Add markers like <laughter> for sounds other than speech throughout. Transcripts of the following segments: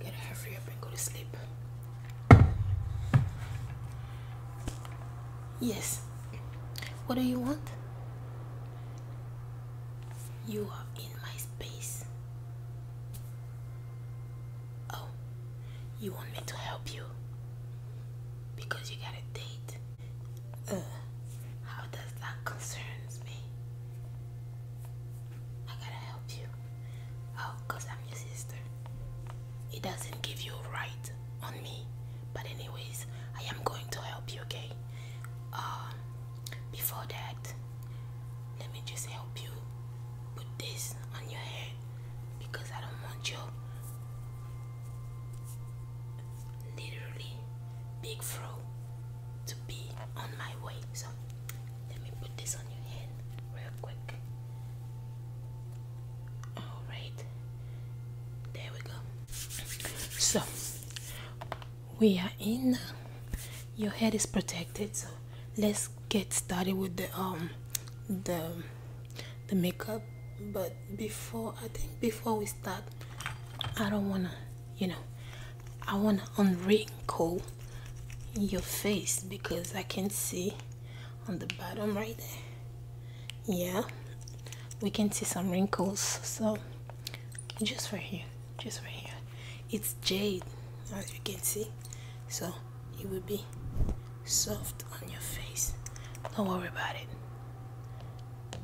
Gotta hurry up and go to sleep. Yes. What do you want? You are my space. Oh, you want me to help you? Because you got a date. Uh, how does that concerns me? I gotta help you. Oh, cause I'm your sister. It doesn't give you a right on me. But anyways, I am going to help you, okay? Uh, before that, let me just help you put this on your head because I don't want your literally big fro to be on my way. So let me put this on your head real quick. Alright, there we go. So, we are in your head is protected so let's get started with the um the the makeup but before i think before we start i don't want to you know i want to unwrinkle your face because i can see on the bottom right there yeah we can see some wrinkles so just right here just right here it's jade as you can see so it will be soft on your face don't worry about it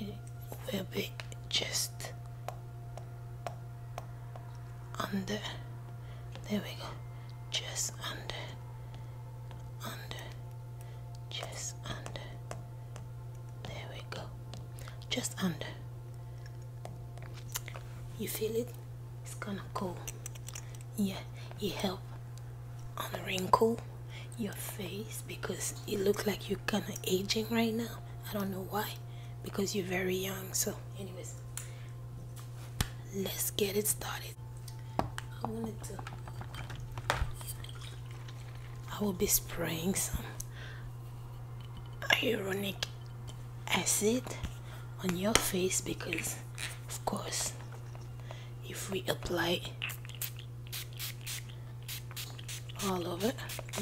it will be just under there we go just under under just under there we go. Just under. You feel it? It's gonna go. Yeah, it help unwrinkle your face because it look like you're kind of aging right now. I don't know why, because you're very young. So, anyways, let's get it started. I will be spraying some ironic acid on your face because of course if we apply all over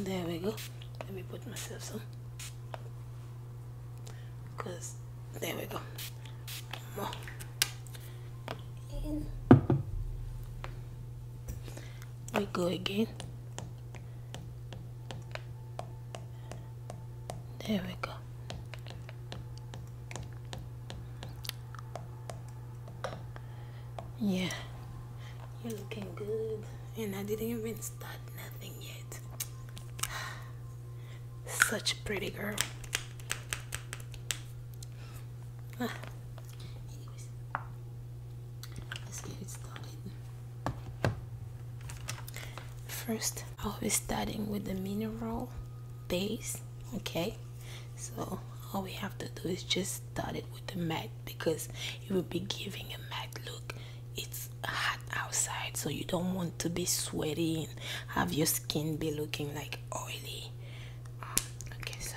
there we go let me put myself some because there we go we go again there we go yeah you're looking good and I didn't even start nothing yet <sighs> such a pretty girl First, I'll be starting with the mineral base, okay? So all we have to do is just start it with the matte because it will be giving a matte look. It's hot outside, so you don't want to be sweating. have your skin be looking like oily. Ah, okay, so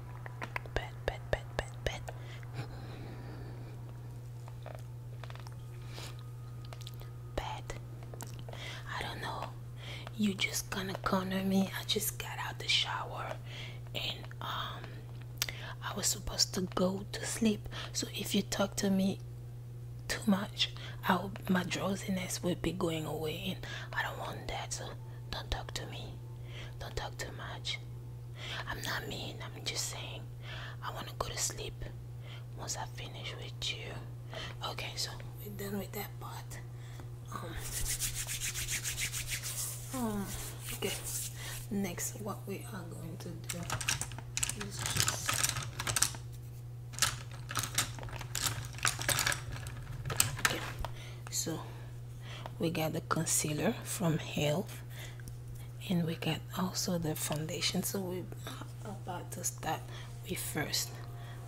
Bed, bed, bed, bed, bed. Bed. I don't know. You just gonna corner me. I just got out the shower and um I was supposed to go to sleep. So if you talk to me too much, my drowsiness will be going away and I don't want that. So don't talk to me. Don't talk too much. I'm not mean, I'm just saying. I want to go to sleep once I finish with you. Okay, so we're done with that part. Um, um, okay, next, what we are going to do is just so we got the concealer from health and we got also the foundation so we're about to start with first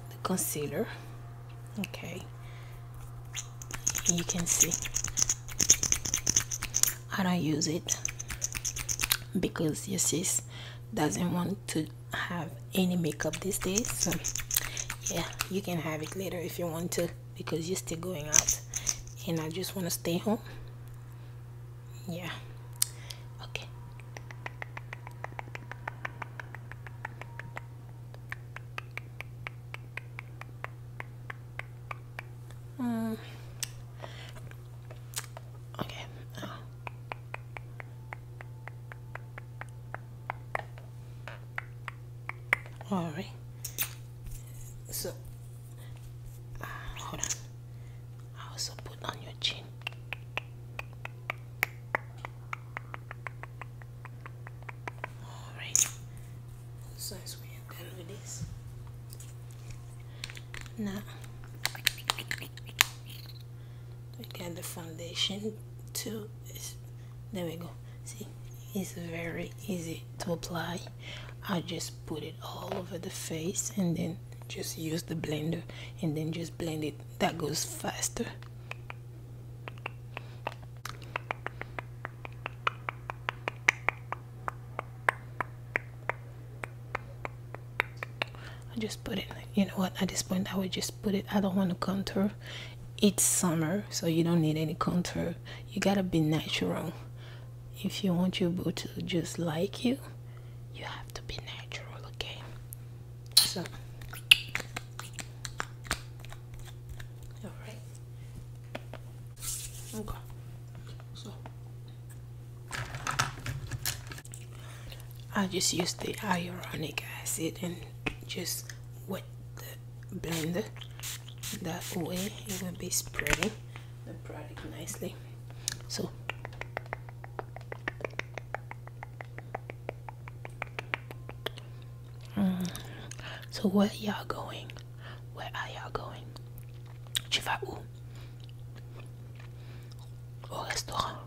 the concealer okay you can see I don't use it because your sis doesn't want to have any makeup these days yeah you can have it later if you want to because you're still going out and I just want to stay home yeah okay mm. okay oh all right so hold on I also put on your chin all right so as we are done with this now we got the foundation too there we go see it's very easy to apply I just put it all over the face and then just use the blender and then just blend it that goes faster I just put it you know what at this point I would just put it i don't want to contour it's summer so you don't need any contour you gotta be natural if you want your boot to just like you you have to be natural okay so all right okay so I just use the ionic acid and just what with blender that way it will be spreading the product nicely so mm, so where y'all going where are y'all going tu vas où restaurant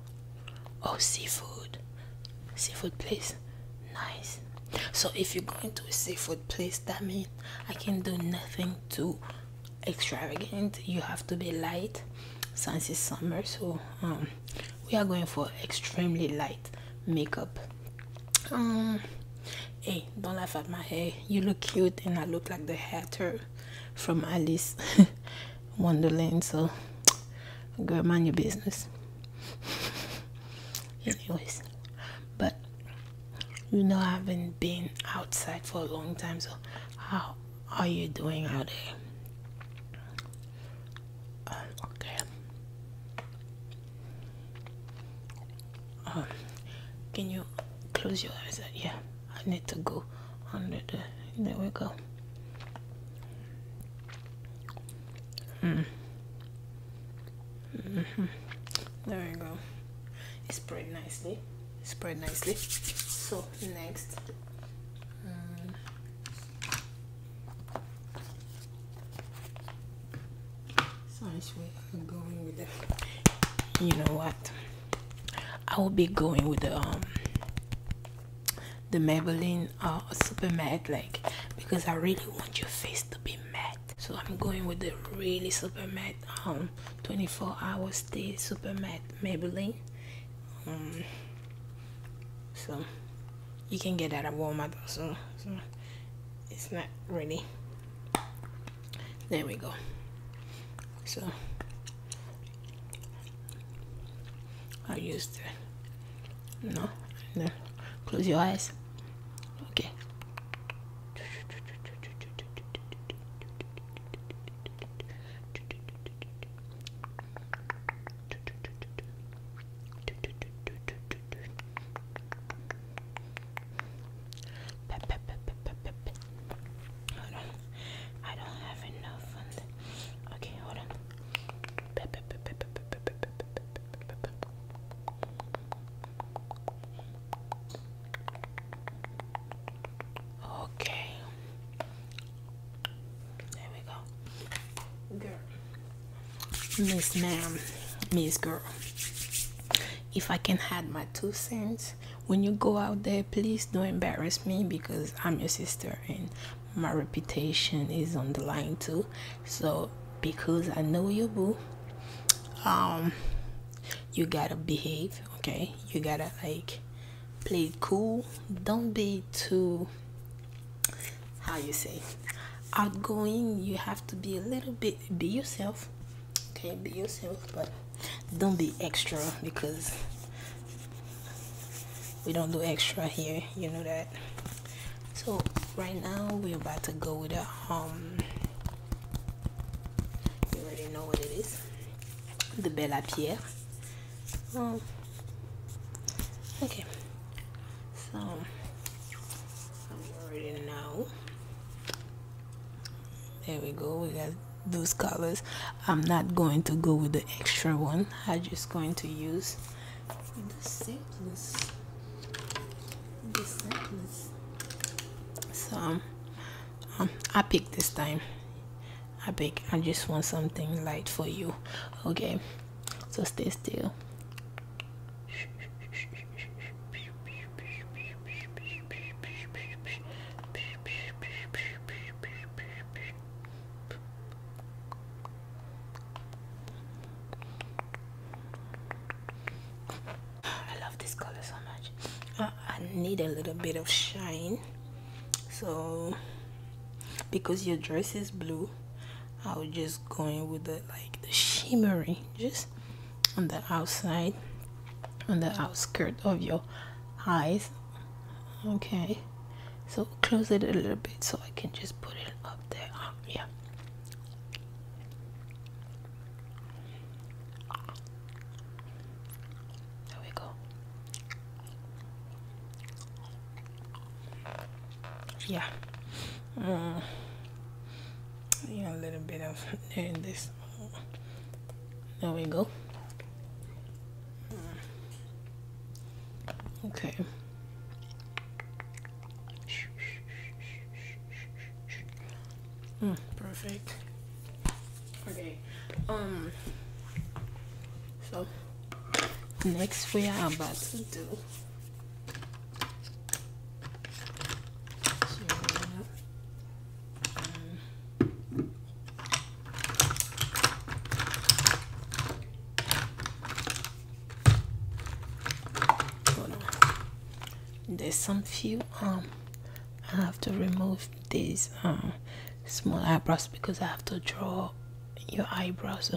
au oh, seafood seafood place nice so if you're going to a seafood place that means i can do nothing too extravagant you have to be light since it's summer so um we are going for extremely light makeup um hey don't laugh at my hair you look cute and i look like the hatter from alice <laughs> wonderland so girl mind your business <laughs> anyways but you know i haven't been outside for a long time so how are you doing out there uh, okay um, can you close your eyes uh, yeah i need to go under the there we go there you go. It spread nicely. spread nicely. So next. Mm. you know what? I will be going with the um, the Maybelline uh, super matte like because I really want your face to be matte so I'm going with the really super matte um, 24 hour stay super matte Maybelline um, so you can get that at Walmart so it's not really there we go so I used the no, there. Close your eyes. Okay. I don't have enough. Okay, hold on. Okay. There we go. Girl. Miss ma'am, Miss girl. If I can add my two cents, when you go out there, please don't embarrass me because I'm your sister and my reputation is on the line too. So because I know you boo, um, you gotta behave, okay? You gotta like play cool. Don't be too how you say outgoing. You have to be a little bit be yourself, okay? Be yourself, but don't be extra because we don't do extra here you know that so right now we're about to go with a um you already know what it is the Bella Pierre um, okay so um, you already know there we go we got those colors I'm not going to go with the extra one I'm just going to use the simplest the simplest so um, um, i pick this time i pick i just want something light for you okay so stay still I love this color so much. Uh, I need a little bit of shine. So, because your dress is blue, I will just go in with the like the shimmery, just on the outside, on the outskirt of your eyes. Okay, so close it a little bit so I can just put it up there um, yeah there we go yeah mm. a little bit of in this there we go Okay. Hmm, perfect. Okay. Um. So next we are about to do there's some few um I have to remove these um, small eyebrows because I have to draw your eyebrows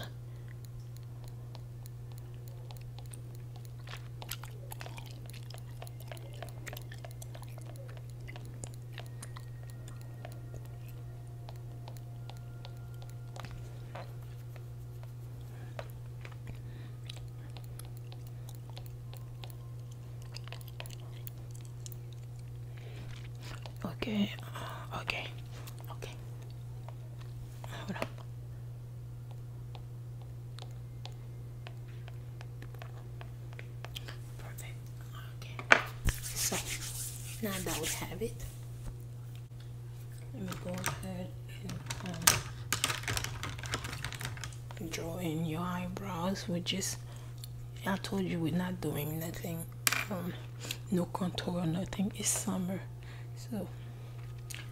uh, okay, okay, okay. Perfect. Okay. So now that we have it, let me go ahead and um, draw in your eyebrows, which just, I told you we're not doing nothing, um, no contour, or nothing. It's summer, so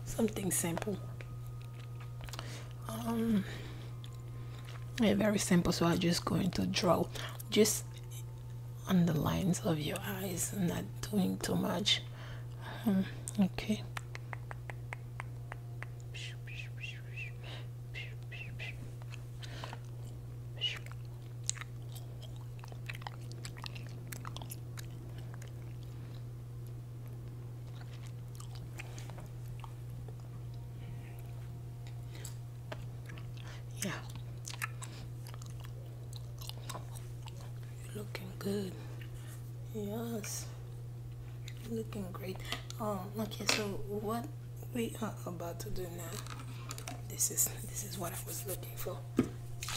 something simple. Um, very simple. So I'm just going to draw just on the lines of your eyes not doing too much hmm, okay yeah you're looking good. Yes. looking great. Um, okay, so what we are about to do now. This is this is what I was looking for.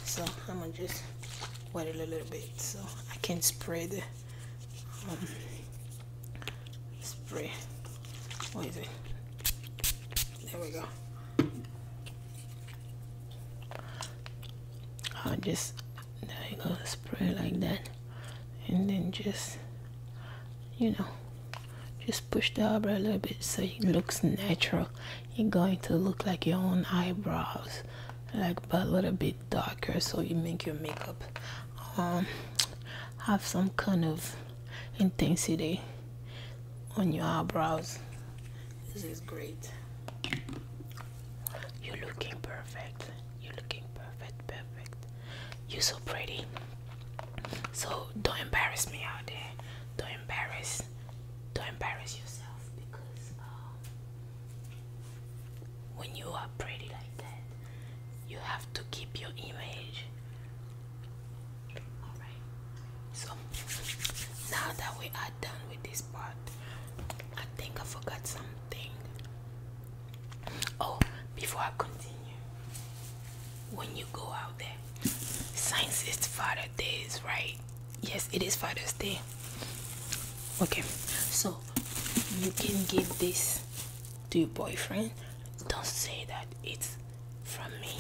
So I'm gonna just wet it a little bit so I can spray the um, spray. What is it? There we go. i just there you go spray like that and then just you know just push the eyebrow a little bit so it looks natural you're going to look like your own eyebrows like but a little bit darker so you make your makeup um have some kind of intensity on your eyebrows this is great. You're looking perfect. You're looking perfect, perfect. You're so pretty. So don't embarrass me out there. Don't embarrass. Don't embarrass yourself because um, when you are pretty like that, you have to keep your image. Alright. So now that we are done with this part. I think I forgot something. Oh, before I continue, when you go out there, since it's Father's Day, right? Yes, it is Father's Day. Okay, so you can give this to your boyfriend. Don't say that it's from me.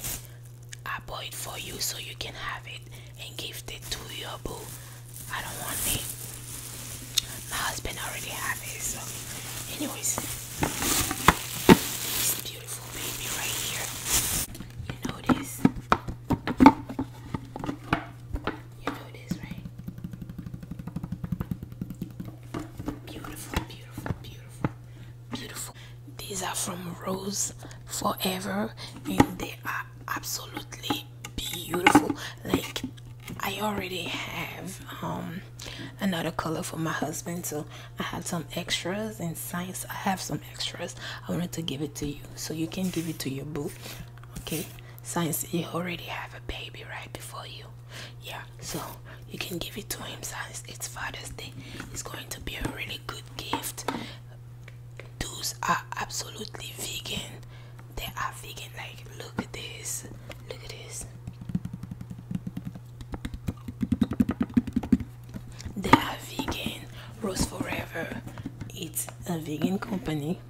I bought it for you so you can have it and gift it to your boo. I don't want me. My husband already has it, so anyways. This beautiful baby right here. You know this. You know this, right? Beautiful, beautiful, beautiful, beautiful these are from Rose Forever and they are absolutely beautiful like I already have um, another color for my husband so I had some extras and since I have some extras I wanted to give it to you so you can give it to your boo okay since you already have a baby right before you yeah so you can give it to him since it's Father's Day it's going to be a really good gift those are absolutely vegan. They are vegan. Like, look at this. Look at this. They are vegan. Rose Forever. It's a vegan company.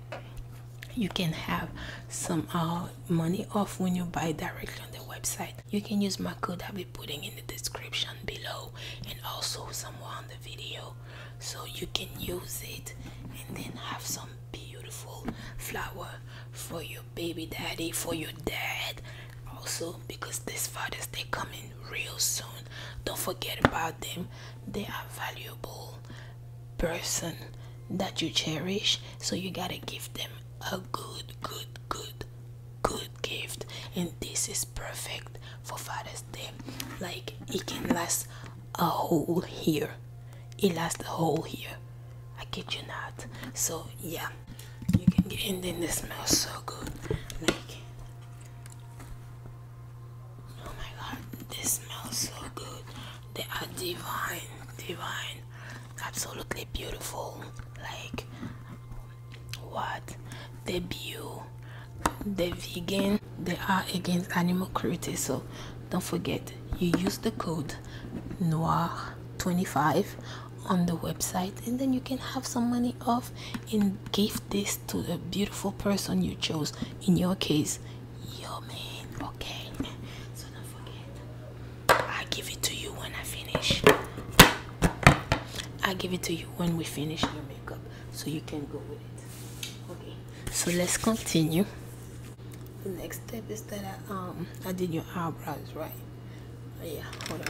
You can have some uh, money off when you buy directly on the website. You can use my code putting in the description below and also somewhere on the video so you can use it and then have some beautiful flower for your baby daddy for your dad also because this fathers they coming real soon don't forget about them they are valuable person that you cherish so you gotta give them a good good good good gift and this is perfect for father's day like it can last a whole year it lasts a whole year i kid you not so yeah you can get and then it smells so good like oh my god this smells so good they are divine divine absolutely beautiful like what the bio the vegan they are against animal cruelty so don't forget you use the code noir 25 on the website and then you can have some money off and give this to the beautiful person you chose in your case your man okay so don't forget i give it to you when i finish i give it to you when we finish your makeup so you can go with it okay so let's continue the next step is that I, um I your eyebrows right oh, yeah hold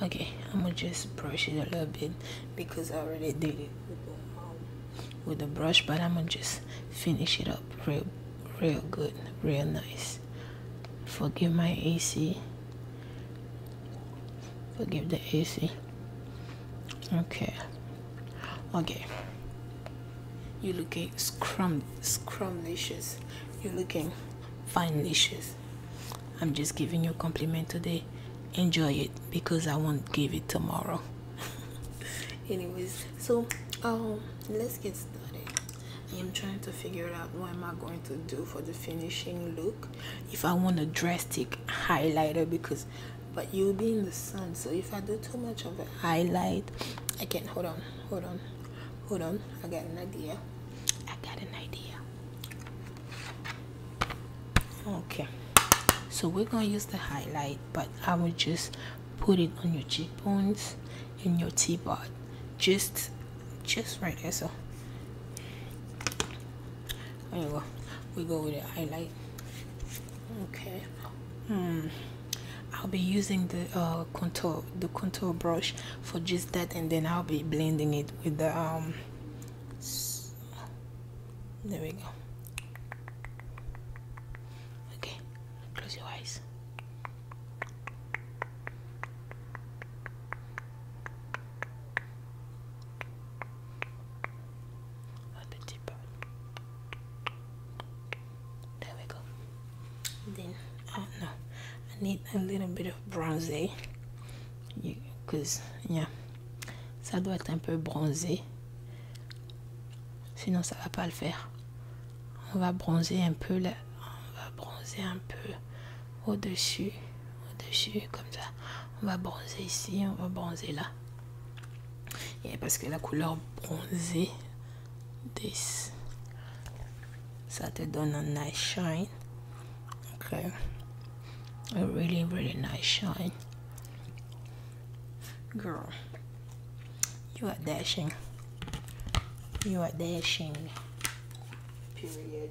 on okay I'm gonna just brush it a little bit because I already did it with the, um, with the brush but I'm gonna just finish it up real real good real nice forgive my AC. Forgive the AC. Okay. Okay. You're looking scrum scrumlicious. You're looking finelicious. I'm just giving you a compliment today. Enjoy it because I won't give it tomorrow. <laughs> Anyways, so um let's get started. I am trying to figure out what am I going to do for the finishing look. If I want a drastic highlighter because but you'll be in the sun so if I do too much of a highlight I can hold on hold on hold on I got an idea I got an idea okay so we're gonna use the highlight but I will just put it on your cheekbones and your T-bot just just right there. So anyway, we go with the highlight. Okay. Hmm. I'll be using the uh, contour the contour brush for just that, and then I'll be blending it with the um. There we go. Okay, close your eyes. Un petit peu. There we go. Then, oh no, I need a little bit of bronzer. cause, yeah, ça doit être un peu bronzé. Sinon, ça va pas le faire. On va bronzer un peu là. On va bronzer un peu au-dessus, au-dessus, comme ça. On va bronzer ici, on va bronzer là. Et parce que la couleur bronzée, this, ça te donne un nice shine. Okay. Euh, a really, really nice shine. Girl, you are dashing. You are dashing. Period.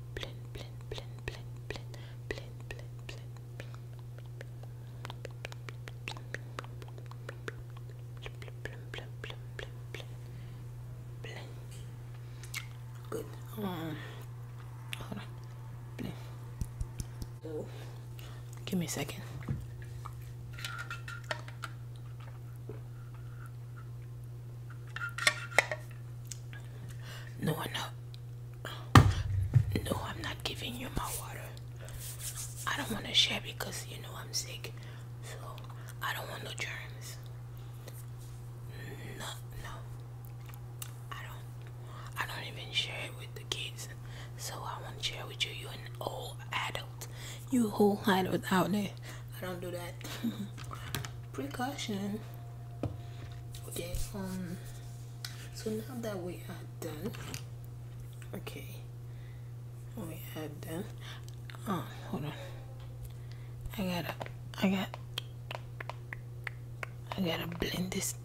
blin blin blin blin blin blin blin Good. Um, Give me a second. No, no. No, I'm not giving you my water. I don't want to share because you know I'm sick. So I don't want no germs. No, no. I don't. I don't even share it with the kids. So I won't share with you. You're an old adult. You whole adult out there. I don't do that. <laughs> precaution okay um so now that we are done okay we are done oh hold on i gotta i got i gotta blend this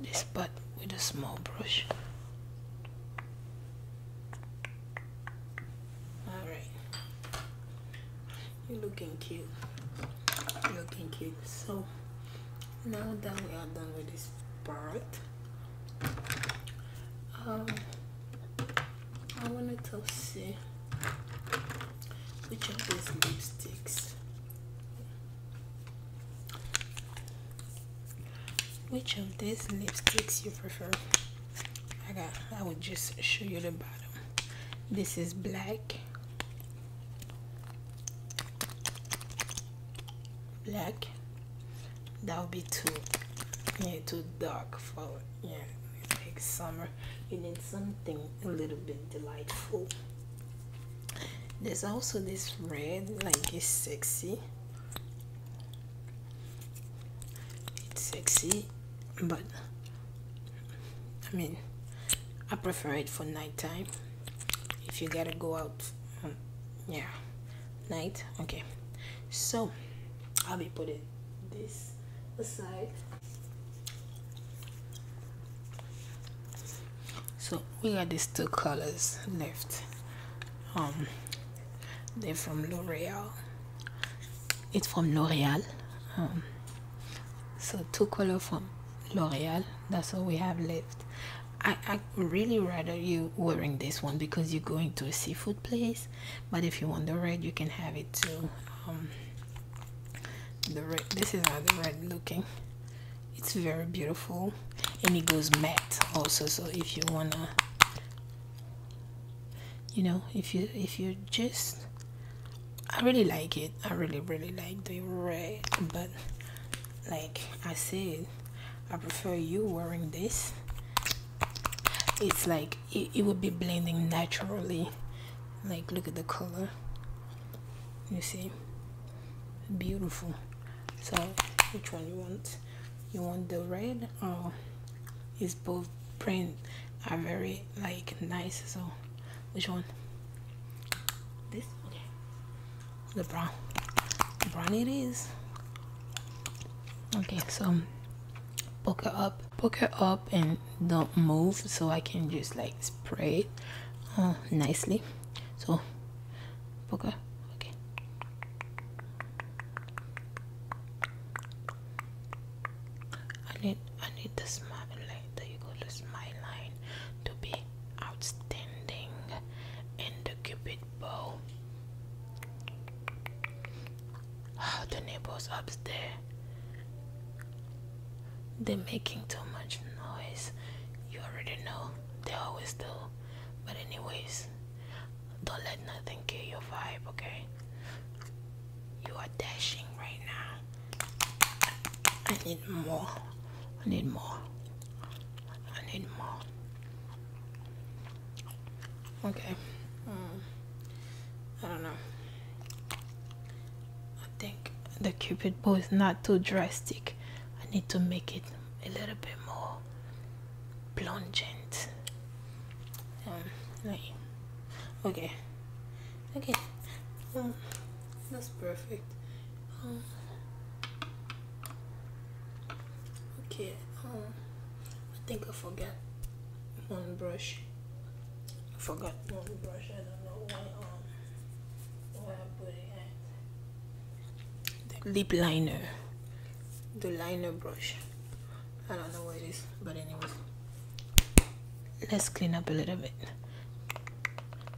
this part with a small brush all right. You're looking cute. looking cute. So now that we are done with this part, um, I wanted to see which of these lipsticks which of these lipsticks you prefer I got I will just show you the bottom this is black black that would be too yeah too dark for yeah like summer you need something a little bit delightful there's also this red like it's sexy it's sexy but I mean, I prefer it for nighttime. If you gotta go out, um, yeah, night. Okay, so I'll be putting this aside. So we got these two colors left. Um, they're from L'Oreal. It's from L'Oreal. Um, so two color from l'oreal that's all we have left I, I really rather you wearing this one because you're going to a seafood place but if you want the red you can have it too um, the red this is how the red looking it's very beautiful and it goes matte also so if you wanna you know if you if you just i really like it i really really like the red but like i said i prefer you wearing this it's like it, it would be blending naturally like look at the color you see beautiful so which one you want you want the red or is both print are very like nice so which one this okay the brown brown it is okay so poke it up poke it up and don't move so i can just like spray it uh, nicely so poke it okay I need I need the smile like you go to smile line to be outstanding in the it bow. Oh, ah, the neighbors upstairs. They're making too much noise. You already know they always do. But anyways, don't let nothing kill your vibe, okay? You are dashing right now. I need more. I need more. I need more. Okay. Mm. I don't know. I think the cupid bow is not too drastic. I need to make it a little bit more plungent. Um, like, okay. Okay. Um, that's perfect. Mm. okay. Um, I think I forgot one brush. I forgot one brush. I don't know why. Um, where I put it The lip liner. The liner brush. I don't know what it is, but anyway, let's clean up a little bit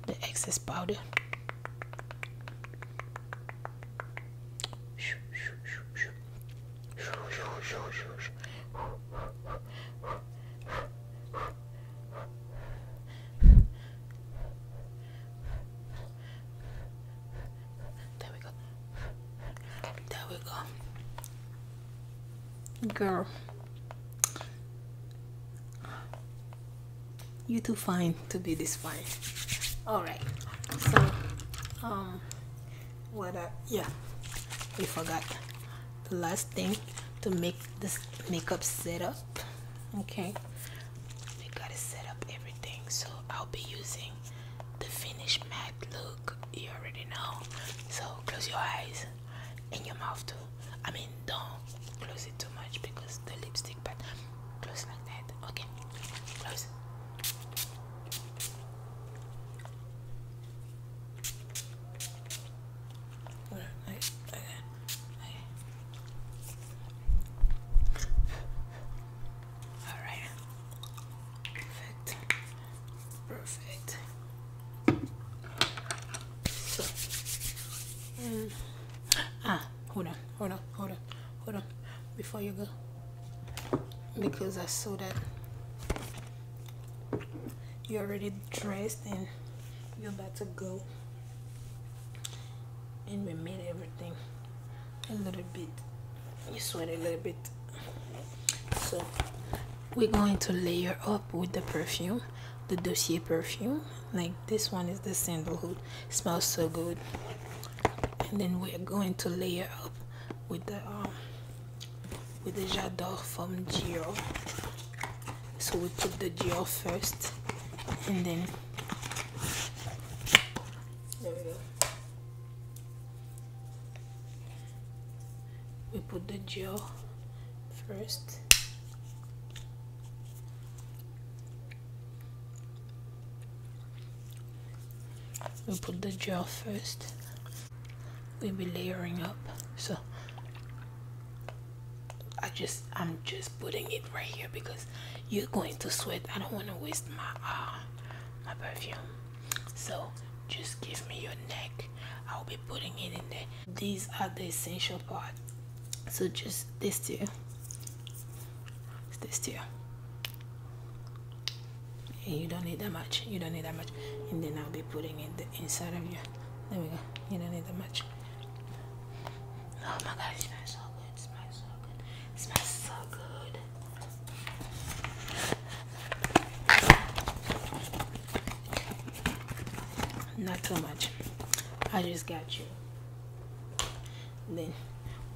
the excess powder. There we go. There we go. Girl, you are too fine to be this fine. All right. So, um, what? I, yeah, we forgot the last thing to make this makeup setup. Okay, we gotta set up everything. So I'll be using the finished matte look. You already know. So close your eyes in your mouth too. I mean, don't close it too much because the lipstick, but close like that. Okay, close. All right. Perfect. Perfect. So, mm. ah, hold on, hold on, hold on, hold on, before you go, because I saw that you're already dressed and you're about to go and we made everything a little bit you sweat a little bit so we're going to layer up with the perfume the dossier perfume like this one is the sandalwood hood, smells so good and then we're going to layer up with the um, with the j'adore from Giro so we put the Giro first and then there we go we put the gel first we put the gel first we'll be layering up so I just I'm just putting it right here because you're going to sweat I don't want to waste my uh, my perfume so just give me your neck i'll be putting it in there these are the essential part so just this two this two and you don't need that much you don't need that much and then i'll be putting it inside of you there we go you don't need that much oh my god it smells so good it smells so good it smells so good not too much i just got you then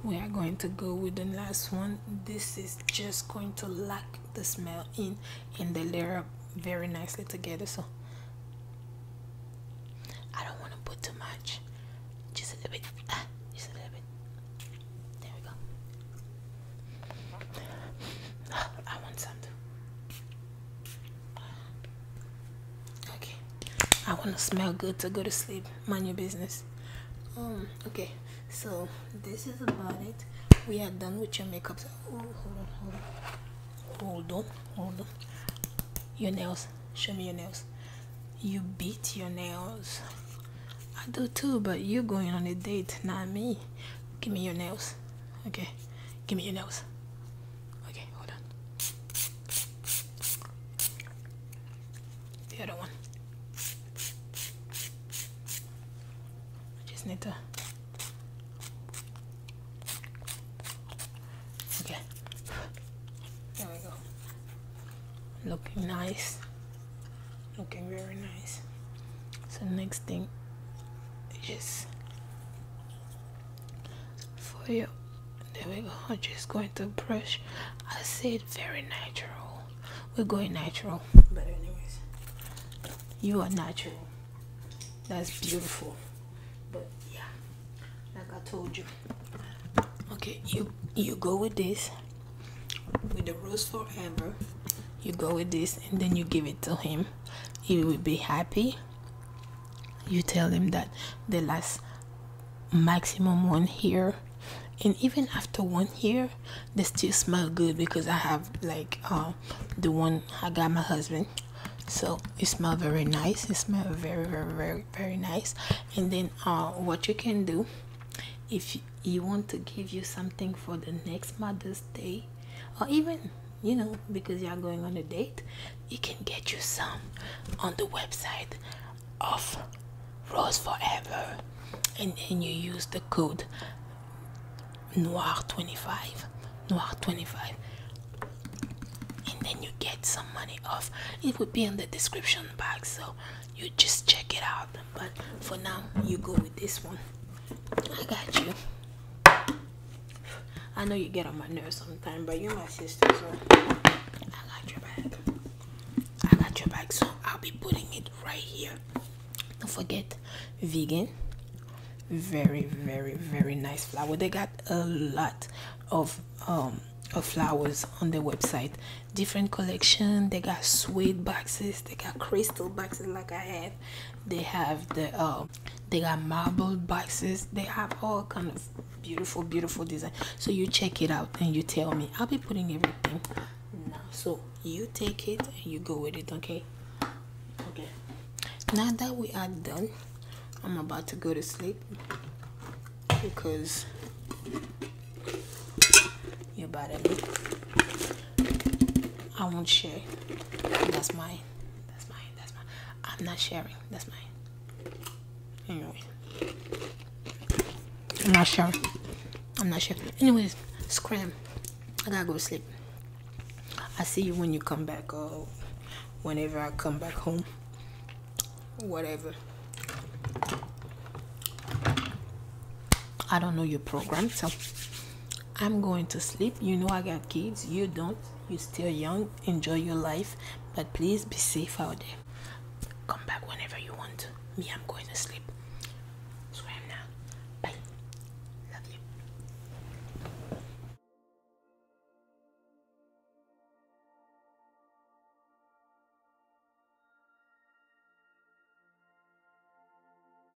we are going to go with the last one this is just going to lock the smell in and they layer up very nicely together so i don't want to put too much just a little bit ah, just a little bit there we go <sighs> I want something. Okay. I want to smell good to go to sleep. Mind your business. Um. Okay. So this is about it. We are done with your makeup. So, oh, hold on, hold on, hold on, hold on. Your nails. Show me your nails. You beat your nails. I do too, but you're going on a date, not me. Give me your nails. Okay, give me your nose. Okay, hold on. The other one. I just need to. Okay. There we go. Looking nice okay very nice so next thing is for you there we go just going to brush I said very natural we're going natural but anyways you are natural that's beautiful but yeah like I told you okay you you go with this with the rose forever you go with this and then you give it to him he will be happy you tell him that the last maximum one here and even after one year they still smell good because i have like uh, the one i got my husband so it smell very nice it smell very very very very nice and then uh, what you can do if you want to give you something for the next mother's day or even you know because you're going on a date you can get you some on the website of rose forever and then you use the code noir 25 noir 25 and then you get some money off it will be in the description box so you just check it out but for now you go with this one i got you I know you get on my nerves sometimes, but you're my sister, so I got your back. I got your back, so I'll be putting it right here. Don't forget, vegan. Very, very, very nice flower. They got a lot of um of flowers on their website. Different collection. They got suede boxes. They got crystal boxes like I have they have the uh, they got marble boxes they have all kind of beautiful beautiful design so you check it out and you tell me i'll be putting everything now so you take it and you go with it okay okay now that we are done i'm about to go to sleep because you're your leave. I won't share. That's mine. That's mine. That's mine. I'm not sharing. That's mine. Anyway. I'm not sharing. I'm not sharing. Anyways, scram. I gotta go sleep. I see you when you come back or uh, whenever I come back home. Whatever. I don't know your program, I'm going to sleep. You know I got kids. You don't. you still young. Enjoy your life. But please be safe out there. Come back whenever you want Me, I'm going to sleep. So now. Bye. Love you.